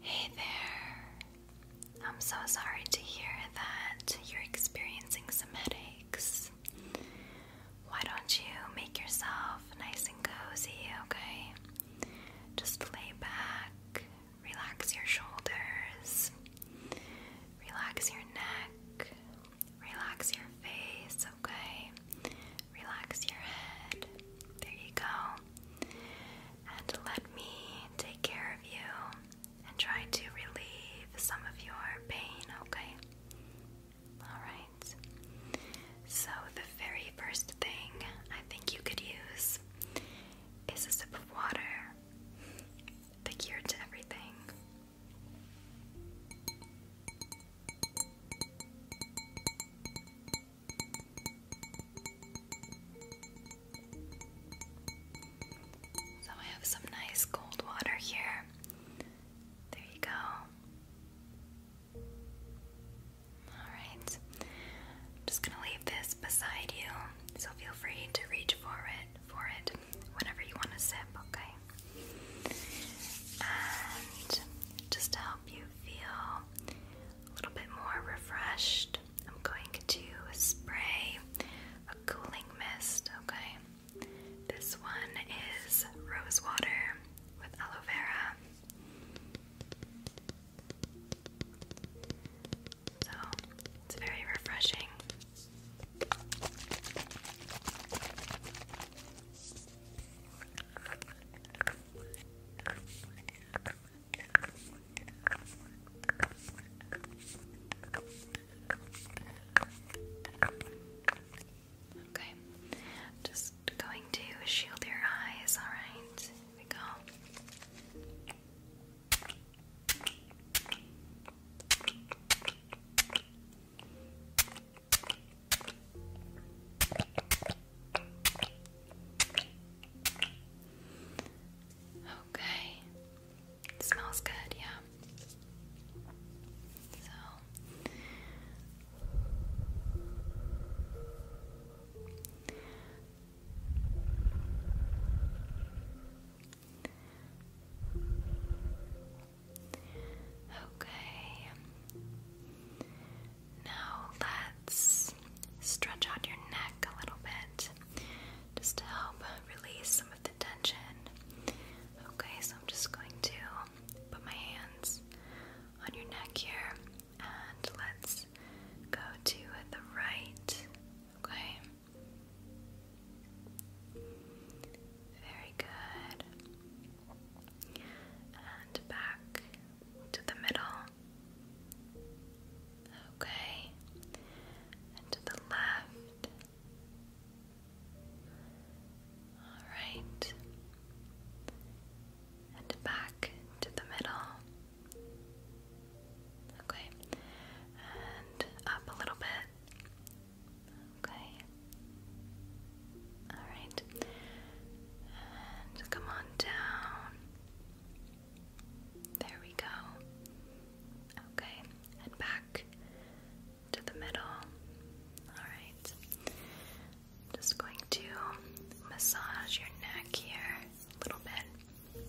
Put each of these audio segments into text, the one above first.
Hey there. I'm so sorry to hear that you're experiencing some headaches. Why don't you make yourself nice and cozy, okay? Just lay back, relax your shoulders, relax your neck, relax your face, okay? Relax your head. There you go. And let me take care of you and try to relieve some of your pain, okay? Alright. So, the very first thing I think you could use is a sip of water. The cure to everything. So I have some nice cold water here. There you go. Alright. I'm just gonna leave this beside you, so feel free to reach for it for it whenever you want to sip, okay? And just to help you feel a little bit more refreshed, I'm going to spray a cooling mist, okay? This one is rose water with aloe vera. So it's very refreshing. Okay, just going to shield your eyes, all right? go. Okay. It smells good, yeah. So Okay. Now let's stretch out your neck a little bit just to help release some of the tension. Okay, so I'm just going to put my hands on your neck here and let's go to the right. Okay. Very good and back to the middle. Okay, and to the left. All right, and back to the middle. Okay, and up a little bit. Okay, Alright. And come on down. There we go. Okay. And back to the middle. Alright. Just going to massage your neck here a little bit.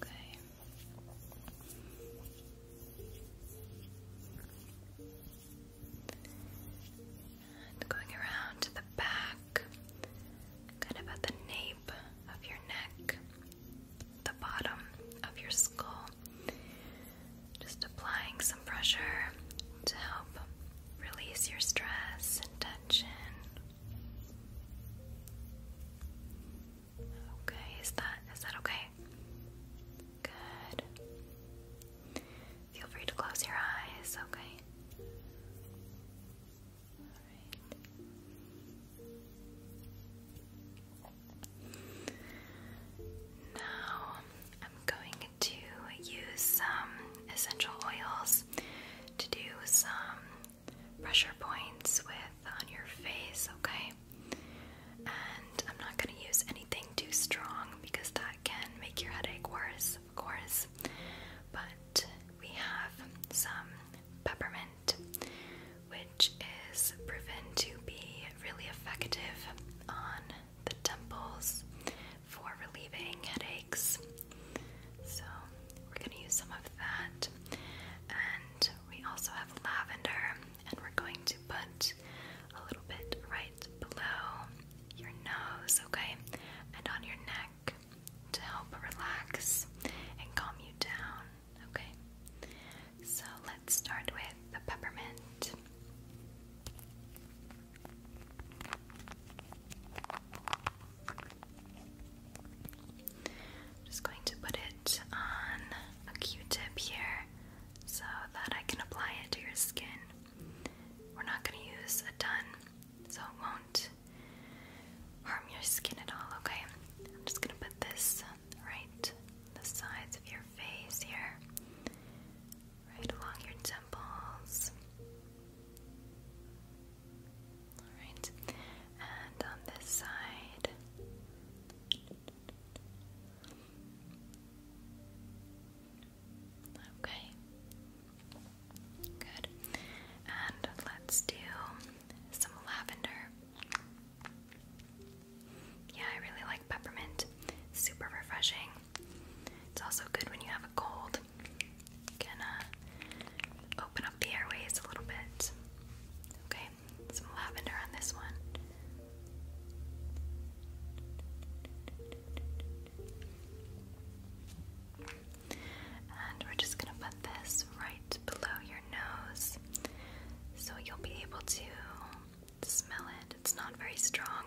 Okay. And going around to the back, kind of at the nape of your neck, the bottom of your skull. Just applying some pressure to help release your stress and tension. Okay, is that is that okay? Good. Feel free to close your eyes, okay? Alright. Now I'm going to use some essential oils to do some pressure points with on your face, okay? And I'm not going to use anything too strong because that can make your headache worse, of course. But we have some peppermint, which is proven to be really effective on the temples for relieving headaches. So, we're going to use some of that. And we also have lavender, and we're going to put a little bit right below your nose, okay, and on your neck to help relax and calm you down, okay? So let's start with the peppermint. just going to put it on a q-tip here so that I can apply it to your skin. We're not going to use a ton, so it won't harm your skin at all, okay? I'm just going to put this right the sides of your face here, right along your temples. Alright, and on this side. Okay. Good. And let's do some lavender. Yeah, I really like peppermint. Super refreshing. It's also good when you have a cold. You can uh, open up the airways a little bit. Okay some lavender on this one. And we're just going to put this right below your nose so you'll be able to smell it. It's not very strong,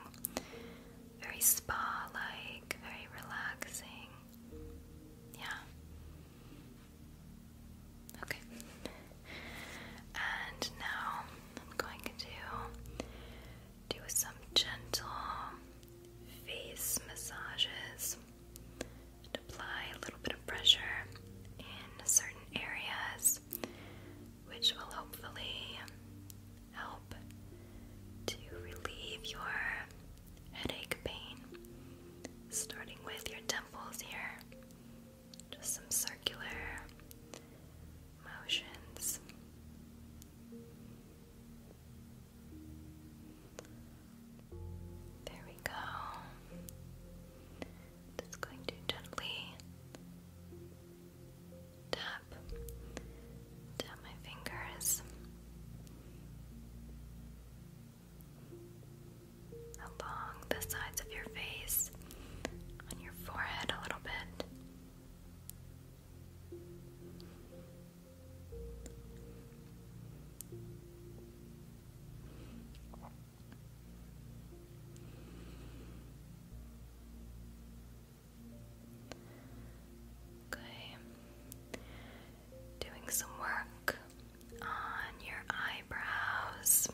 very spa like, very relaxing. Yeah. Okay. And now I'm going to do some gentle face massages and apply a little bit of pressure in certain areas, which will hopefully help to relieve your headache pain, starting with your temples here just some circular motions. There we go. Just going to gently tap down my fingers along the sides of your face, on your forehead a little bit. Okay, doing some work on your eyebrows.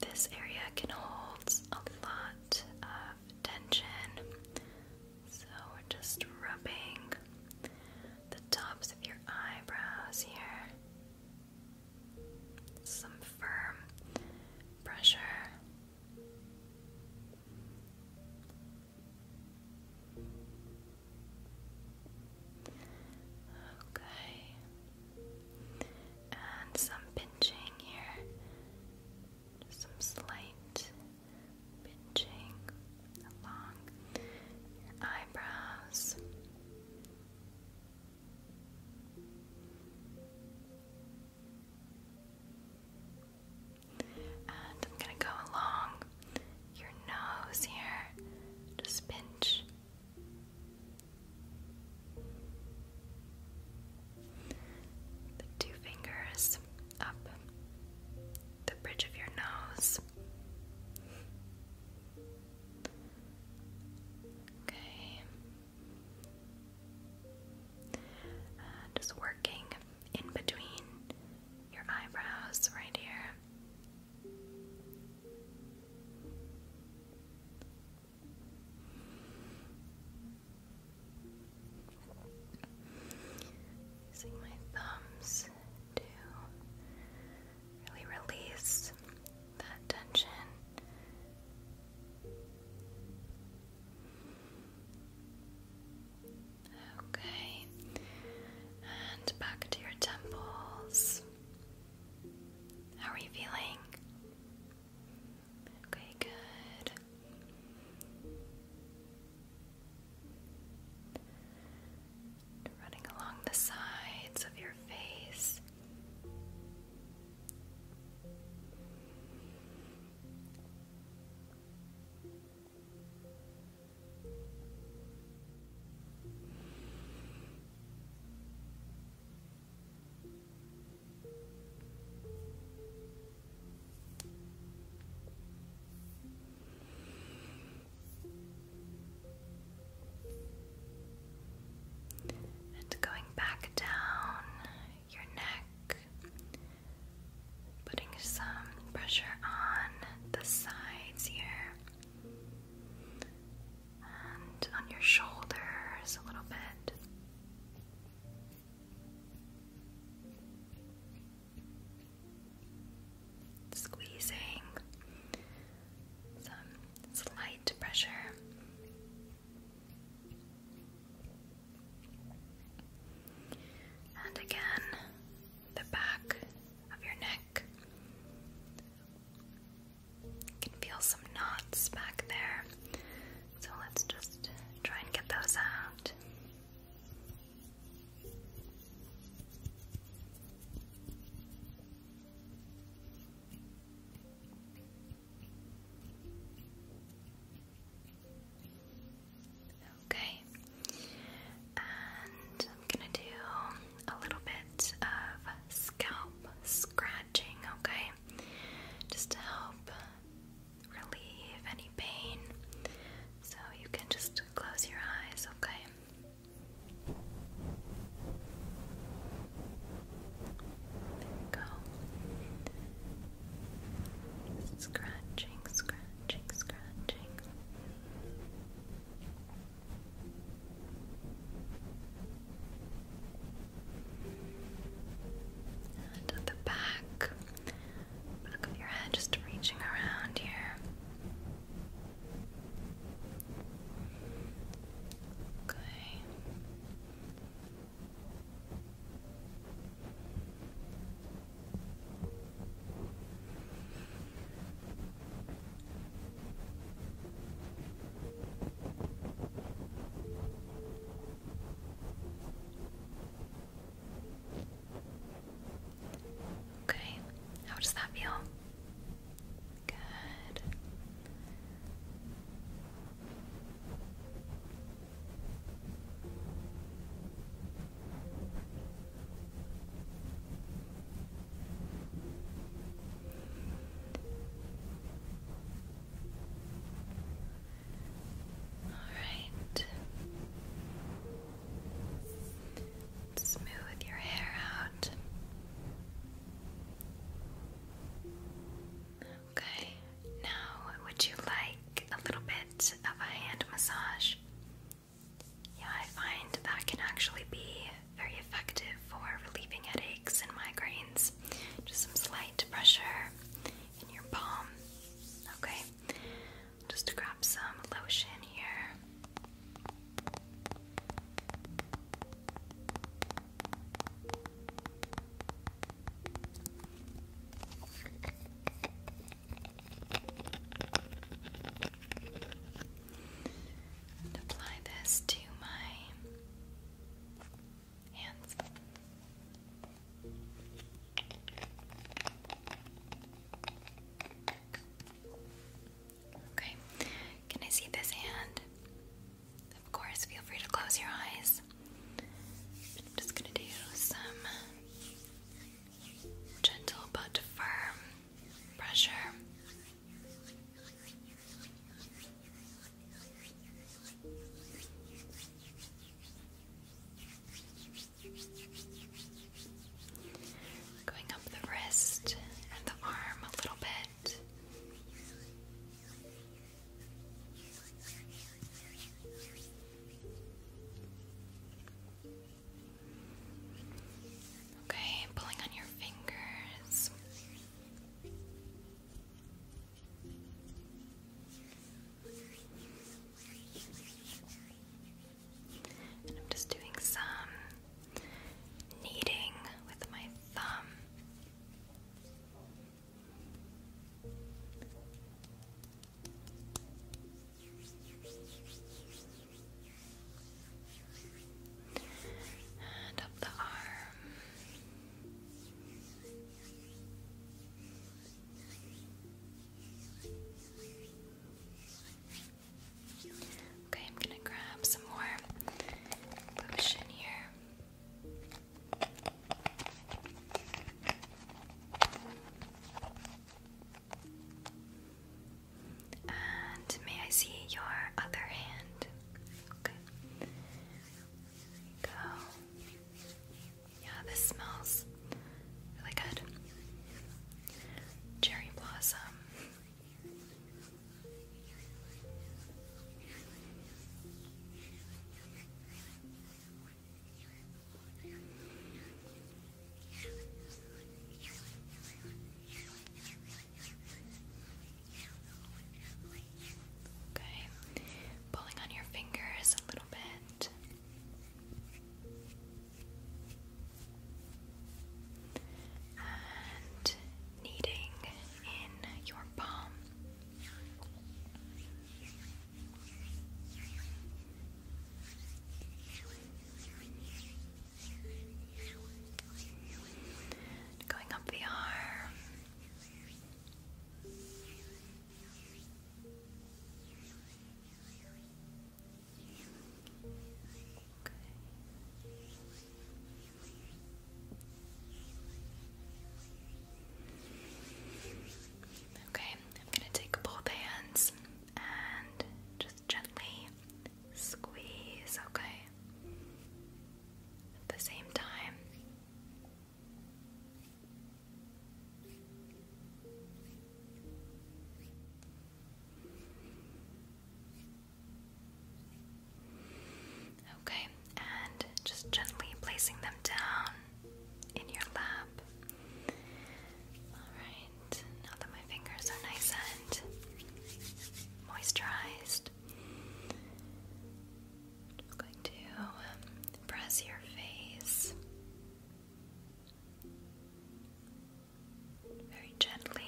This area can hold a lot of tension, so we're just rubbing the tops of your eyebrows here. Some firm pressure. Okay. And some pinching here. some slight pinching along your eyebrows. And I'm going to go along your nose here. Just pinch the two fingers up the bridge of your nose. Okay. Uh, just working in between your eyebrows right here. Using my thumbs to really release that tension. Okay, and back to your temples. How are you feeling? Okay, good. Running along the sides of your face. And going back down your neck, putting some pressure on the sides here and on your shoulders a little bit. Squeezing some slight pressure. And again, the back of your neck, you can feel some knots back there. So let's just try and get those out. Okay, and I'm gonna do a little bit of scalp scratching, okay? Just to help relieve any pain. So you can just close your eyes, okay? There we go. Scratching, scratching, scratching. And the back, back of your head, just reaching around here. Okay. Okay, how does that feel? Good. All right. Smooth your hair out. Okay, now would you like a little bit of a hand massage? Yeah, I find that can actually be very effective for relieving headaches and migraines. Just some slight pressure in your palm. Okay, just grab some lotion here apply this to my hands. Okay, can I see this hand? Of course, feel free to close your eyes. I'm just going to do some gentle but firm pressure. Going up the wrist and the arm a little bit. Okay, pulling on your fingers. I'm just doing some kneading with my thumb and up the arm. Okay, I'm gonna grab some more lotion here. And may I see your other hand? Okay. go. Yeah, this smells really good. Cherry blossom. Okay, pulling on your fingers a little bit. And kneading in your palm. Going up the arm. Okay. I'm going to take both hands and just gently squeeze, okay? At the same time. Okay, and just gently placing them down in your lap. All right now that my fingers are nice and moisturized, I'm going to um, press your face very gently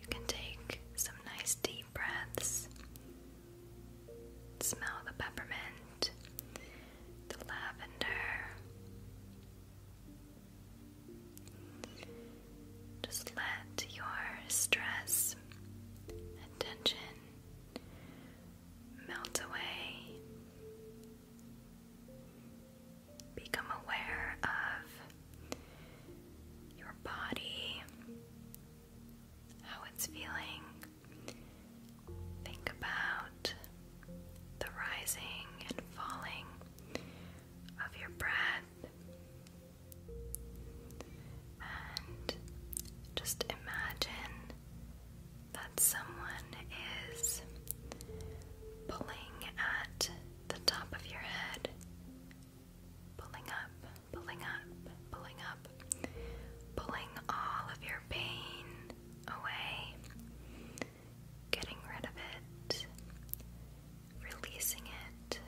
you can take some nice deep breaths. Smell the peppermint, the lavender. Just let your stress and melt away. Become aware of your body, how it's feeling. Think about the rising and falling of your breath. And just imagine that someone is pulling at the top of your head Pulling up, pulling up, pulling up, pulling all of your pain away, getting rid of it, releasing it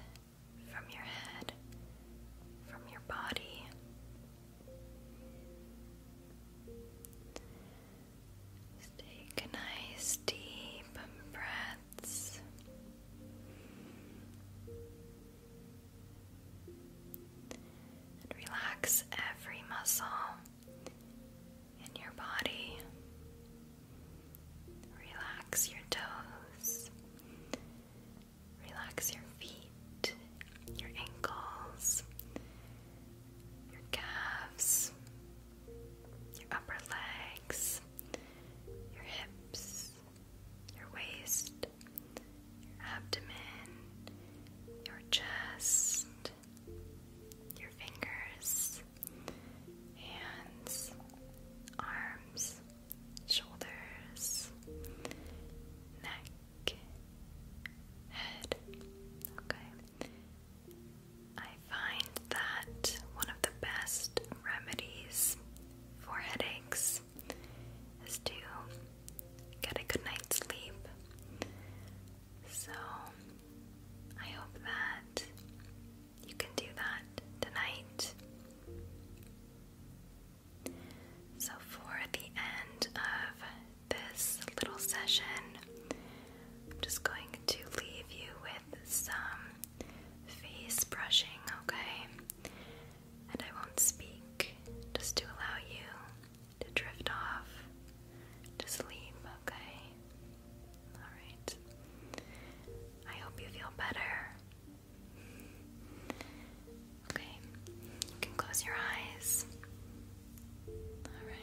from your head, from your body. take a nice deep breath relax every muscle in your body. Relax your toes. Relax your feet, your ankles, your calves, your upper legs your hips, your waist, your abdomen, your chest, your fingers, hands, arms, shoulders, neck, head. Okay. I find that one of the best remedies for headaches is to get a good night's sleep. So I hope that you can do that tonight. So, for the end of this little session, I'm just going to leave you with some face brushing, okay? And I won't speak just to allow you to drift off to sleep, okay? Alright. I hope you feel better. Okay, you can close your eyes. Alright.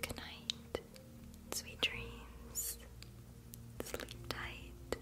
Good night, sweet dreams, sleep tight.